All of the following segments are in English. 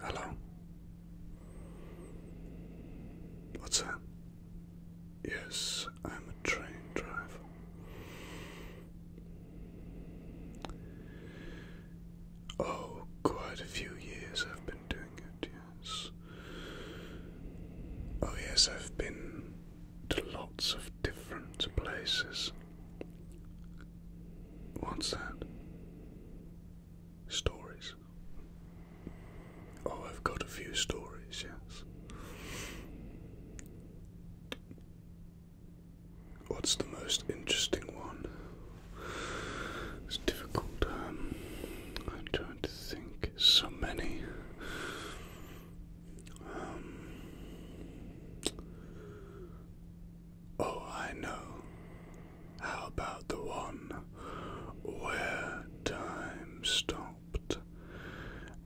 Hello? What's that? Yes, I'm a train driver. Oh, quite a few years I've been doing it, yes. Oh, yes, I've been to lots of different places. What's that? Stories. Oh, I've got a few stories, yes. What's the most interesting one? It's difficult. Um, I'm trying to think. So many. Um, Oh, I know. How about the one where time stopped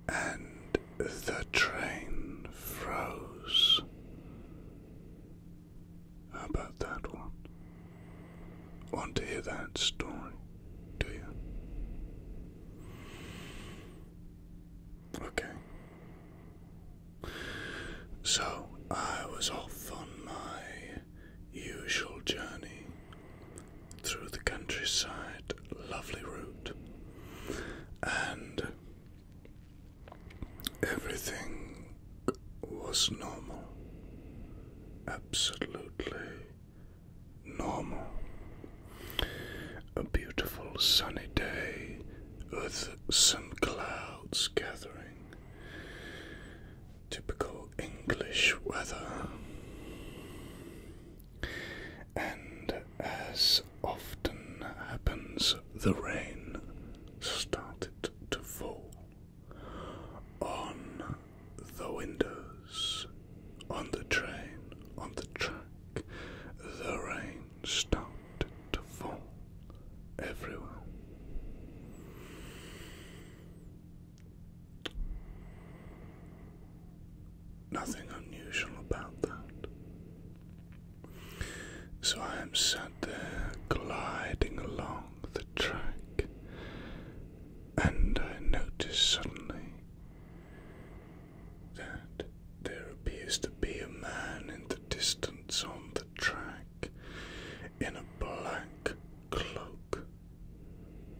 and the train froze? How about that one? Want to hear that story, do you? Okay. So I was off on my usual journey through the countryside, lovely route, and everything was normal, absolutely normal. A beautiful sunny day with some clouds gathering Typical English weather. And as often happens, the rain started to fall on the windows, on the train, on the track. The rain started to fall everywhere. Nothing unusual about that. So I am sat there gliding along the track, and I notice suddenly that there appears to be a man in the distance on the track in a black cloak.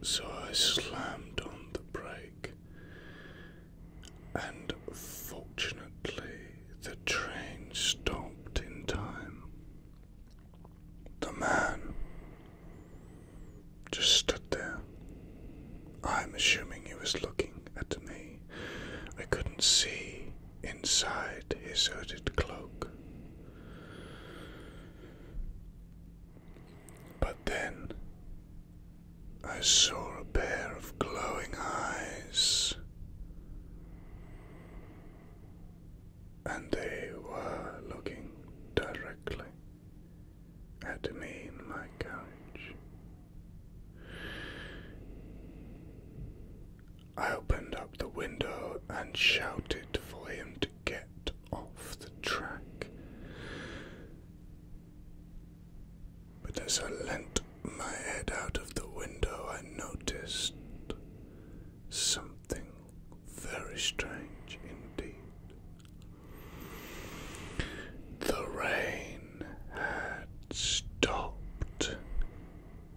So I slammed on the brake, and fortunately, the train stopped in time. The man just stood there. I'm assuming he was looking at me. I couldn't see inside his hooded cloak. But then I saw a pair of glowing eyes, and they were looking directly at me in my couch. I opened up the window and shouted for him to get off the track. But as I leant my head out of the window, I noticed something very strange indeed. The rain had stopped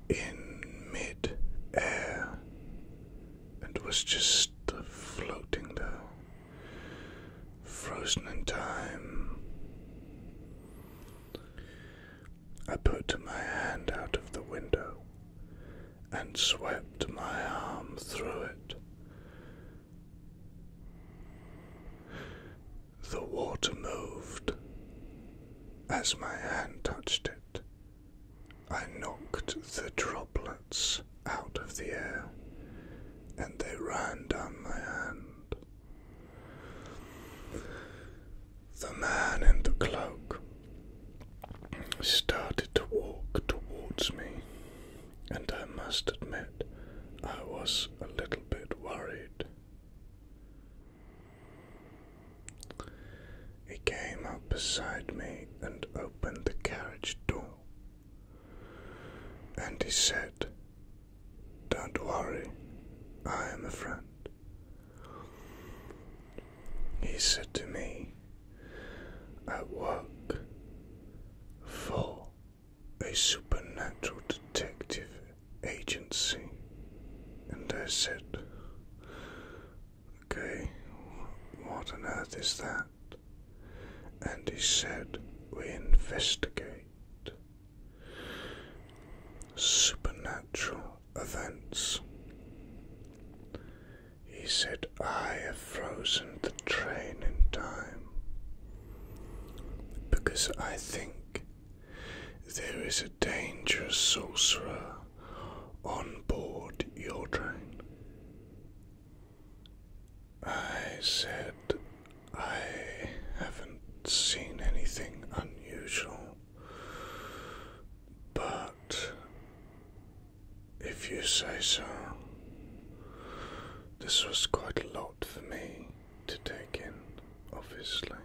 in mid air and was just floating there, frozen in time. I put my hand out of the window and swept my arm through it. The water moved, as my hand touched it, I knocked the droplets out of the air, and they ran down my hand. The man in the cloak started to walk towards me, and I must admit I was a little bit worried. He came up beside me and opened the carriage door. And he said, Don't worry, I am a friend. He said to me, I work for a supernatural detective agency. And I said, Okay, what on earth is that? And he said, We investigate supernatural events. He said, I have frozen the train in time because I think there is a dangerous sorcerer on board your train. I said I haven't seen anything unusual, but if you say so, this was quite a lot for me to take in obviously.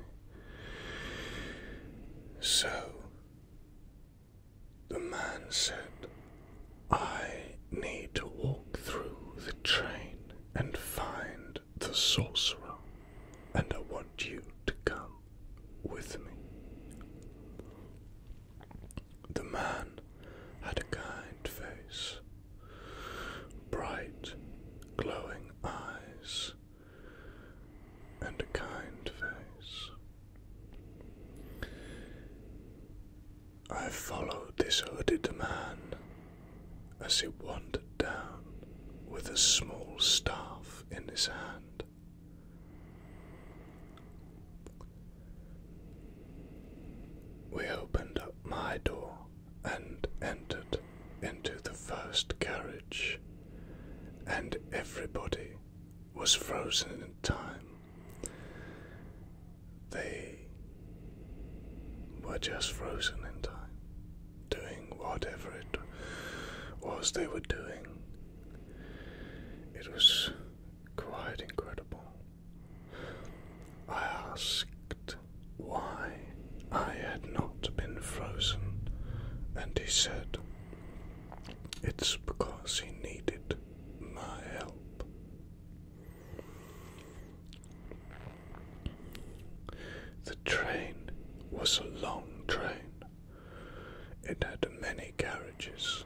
So the man said, I need to walk through the train and find the sorcerer, and I want you to come with me. The man had a kind face, bright, glowing eyes, and a kind face. I followed this hooded man as he wandered down with a small staff in his hand. We opened up my door and entered into the first carriage, and everybody was frozen in time. They were just frozen in time, doing whatever it was they were doing. It was quite incredible. I asked why I had not been frozen, and he said, It's because he needed my help. The train was a long train. It had many carriages,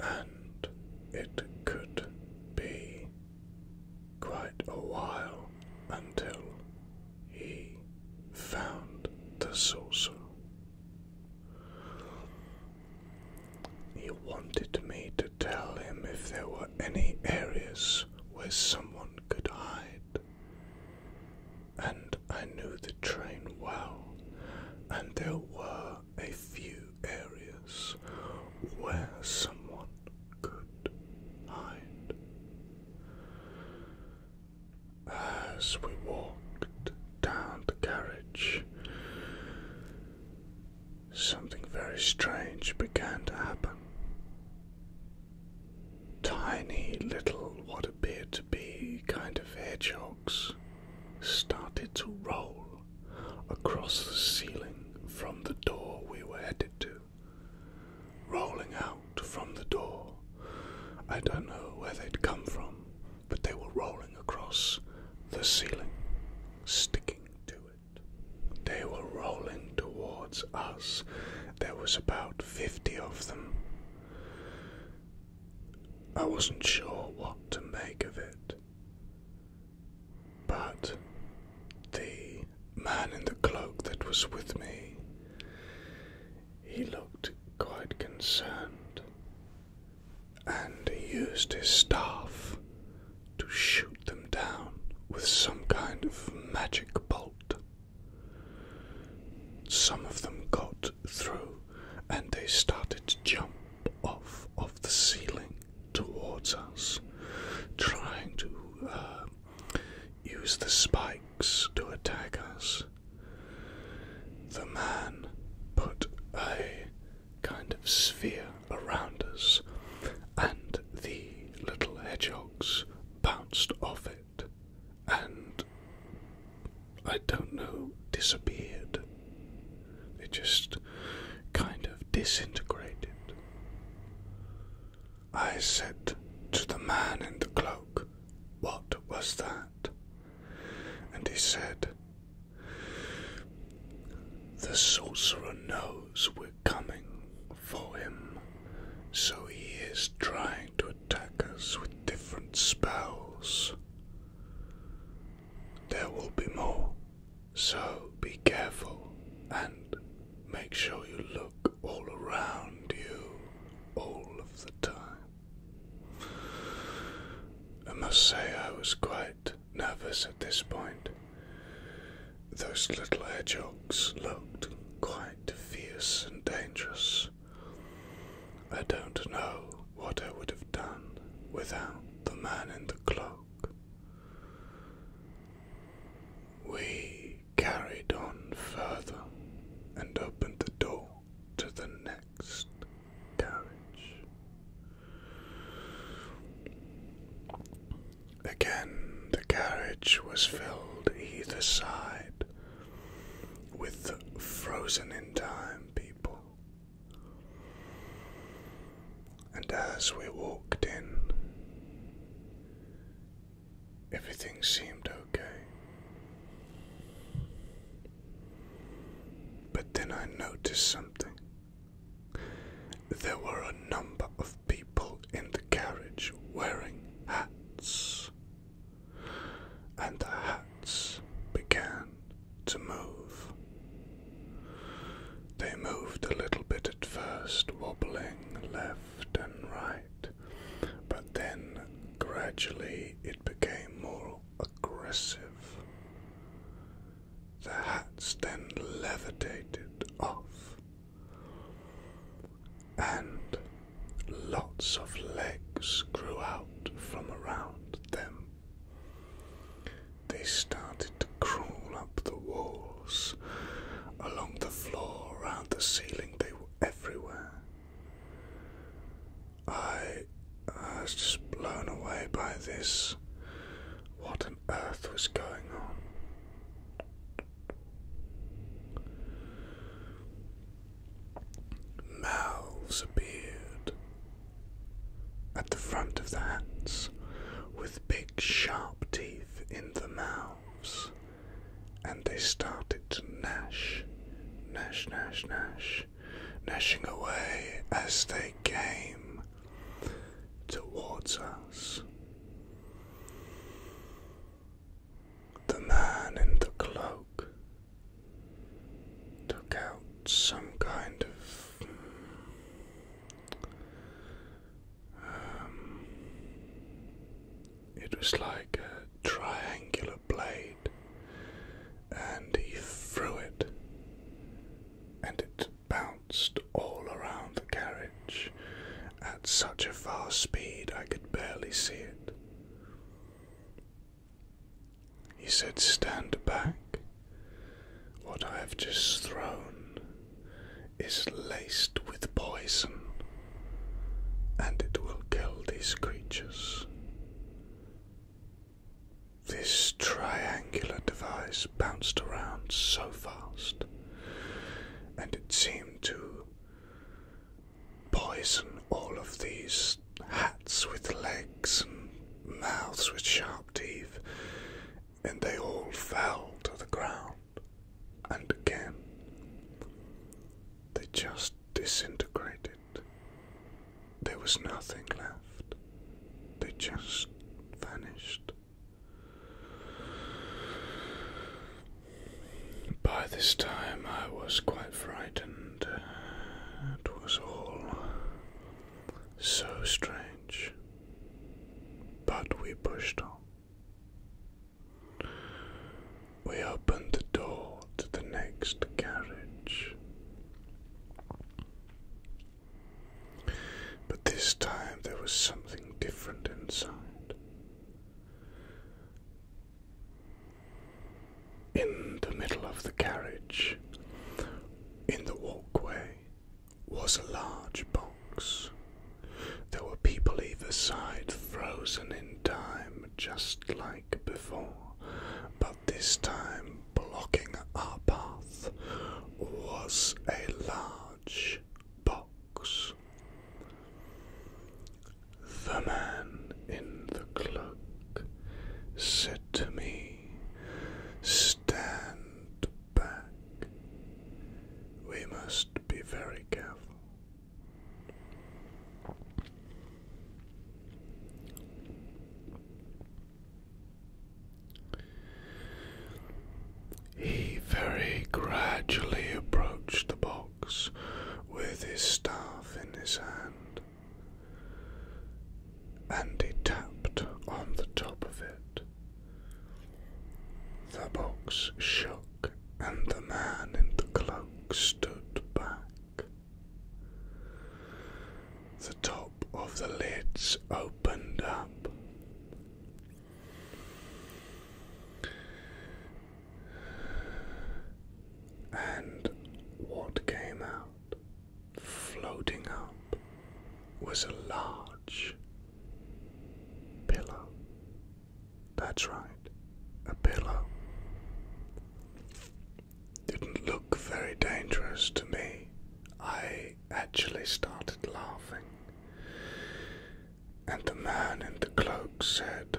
and it could be quite a while until he found the saucer. He wanted me to tell him if there were any areas where someone could hide. And I knew the train well, and there were a few areas where someone could hide as we walked down the carriage, something very strange began to happen. Tiny little, what appeared to be kind of hedgehogs, started to roll across the ceiling from the door we were headed to rolling out from the door. I don't know where they'd come from, but they were rolling across the ceiling, sticking to it. They were rolling towards us. There was about 50 of them. I wasn't sure what to make of it. But the man in the cloak that was with me, he looked quite concerned, and he used his staff to shoot them down with some kind of magic bolt. Some of them got through, and they started to jump off of the ceiling towards us, trying to uh, use the spikes to attack us. The man put a kind of sphere around us, and the little hedgehogs bounced off it and, I don't know, disappeared. They just kind of disintegrated. I said to the man in the cloak, What was that? And he said, The sorcerer knows we're coming for him, so he is trying to attack us with different spells. There will be more, so be careful and make sure you look all around you all of the time. I must say, I was quite nervous at this point. Those little hedgehogs looked quite fierce and dangerous. I don't know what I would have done without the man in the cloak. We carried on further and opened the door to the next carriage. Again, the carriage was filled either side with frozen in time people. And as we walked in, Everything seemed okay. But then I noticed something. There were a number of people in the carriage wearing hats, and the hats began to move. They moved a little bit at first, wobbling left and right but then gradually it became more aggressive. The hats then levitated off, and lots of legs grew out from around them. They started to crawl up the walls, along the floor, around the ceiling, they were everywhere. I, was just blown away by this. What on earth was going on? Mouths appeared at the front of the hands with big sharp teeth in the mouths and they started to gnash, gnash, gnash, gnash, gnashing away as they came towards us. The man in the cloak took out some kind of um, it was like a triangular blade, and he threw it, and it bounced all around the carriage at such a fast speed I could barely see it. He said, Stand back. What I have just thrown is laced with poison and it will kill these creatures. This triangular device bounced around so fast, and it seemed to poison all of these hats with legs and mouths with sharp teeth, and they all fell to the ground and again they just disintegrated. There was nothing left. They just vanished. By this time, I was quite frightened. It was all so strange. But we pushed on. We opened the door to the next carriage. But this time there was something different inside. In the middle of the carriage, in the walkway, was a large box. There were people either side, frozen in time just like before, but this time blocking our path was a large box. The man in the cloak said to me, Stand back. We must be very careful. He very gradually approached the box with his staff in his hand, and he tapped on the top of it. The box shook and the man in the cloak stood back. The top of the lids opened up. And what came out, floating up, was a large pillow. That's right, a pillow. Didn't look very dangerous to me. I actually started laughing. And the man in the cloak said,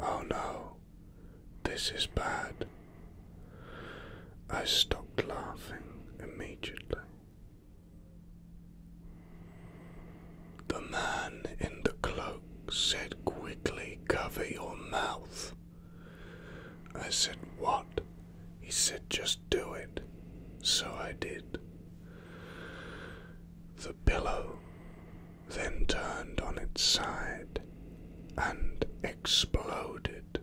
Oh no, this is bad. I stopped laughing immediately. The man in the cloak said quickly, Cover your mouth. I said, What? He said, Just do it. So I did. The pillow then turned on its side and exploded,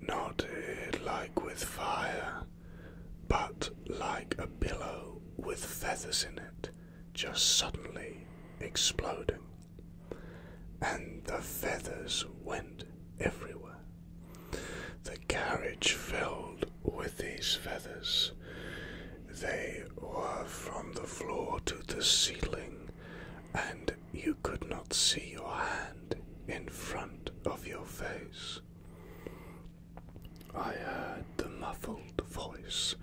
not eh, like with fire, but like a pillow with feathers in it just suddenly exploding, and the feathers went everywhere. The carriage filled with these feathers. They were from the floor to the ceiling, and you could not see your hand in front of your face. I heard the muffled the voice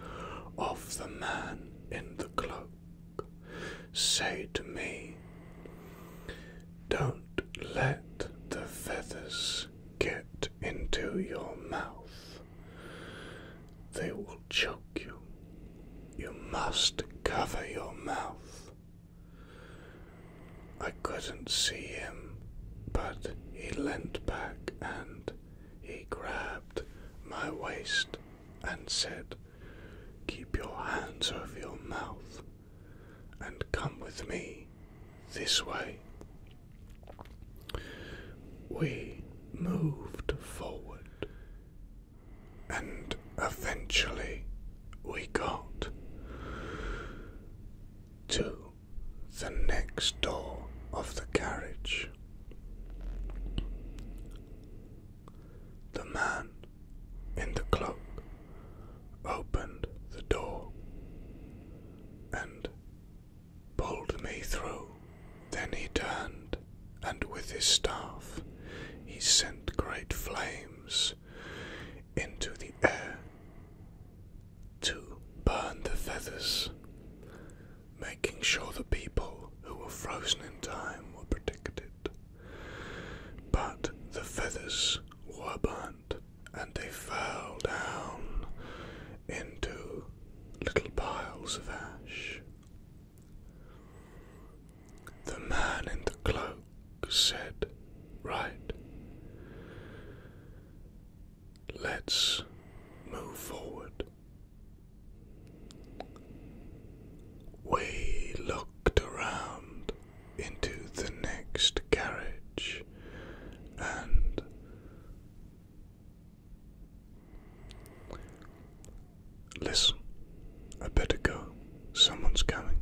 of the man in the cloak say to me, Don't let the feathers get into your mouth. They will choke you. You must cover your mouth. I couldn't see him, but he leant back and he grabbed my waist and said, Keep your hands over your mouth and come with me this way. We moved forward and eventually we got to the next door of the carriage. The man in the cloak opened the door and pulled me through. Then he turned, and with his staff he sent great flames into the air to burn the feathers making sure the people who were frozen in time were protected. But the feathers were burnt, and they fell down into little piles of ash. The man in the cloak said, Right, let's move forward. We looked around into the next carriage and Listen, I better go. Someone's coming.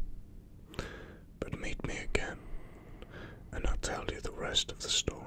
But meet me again, and I'll tell you the rest of the story.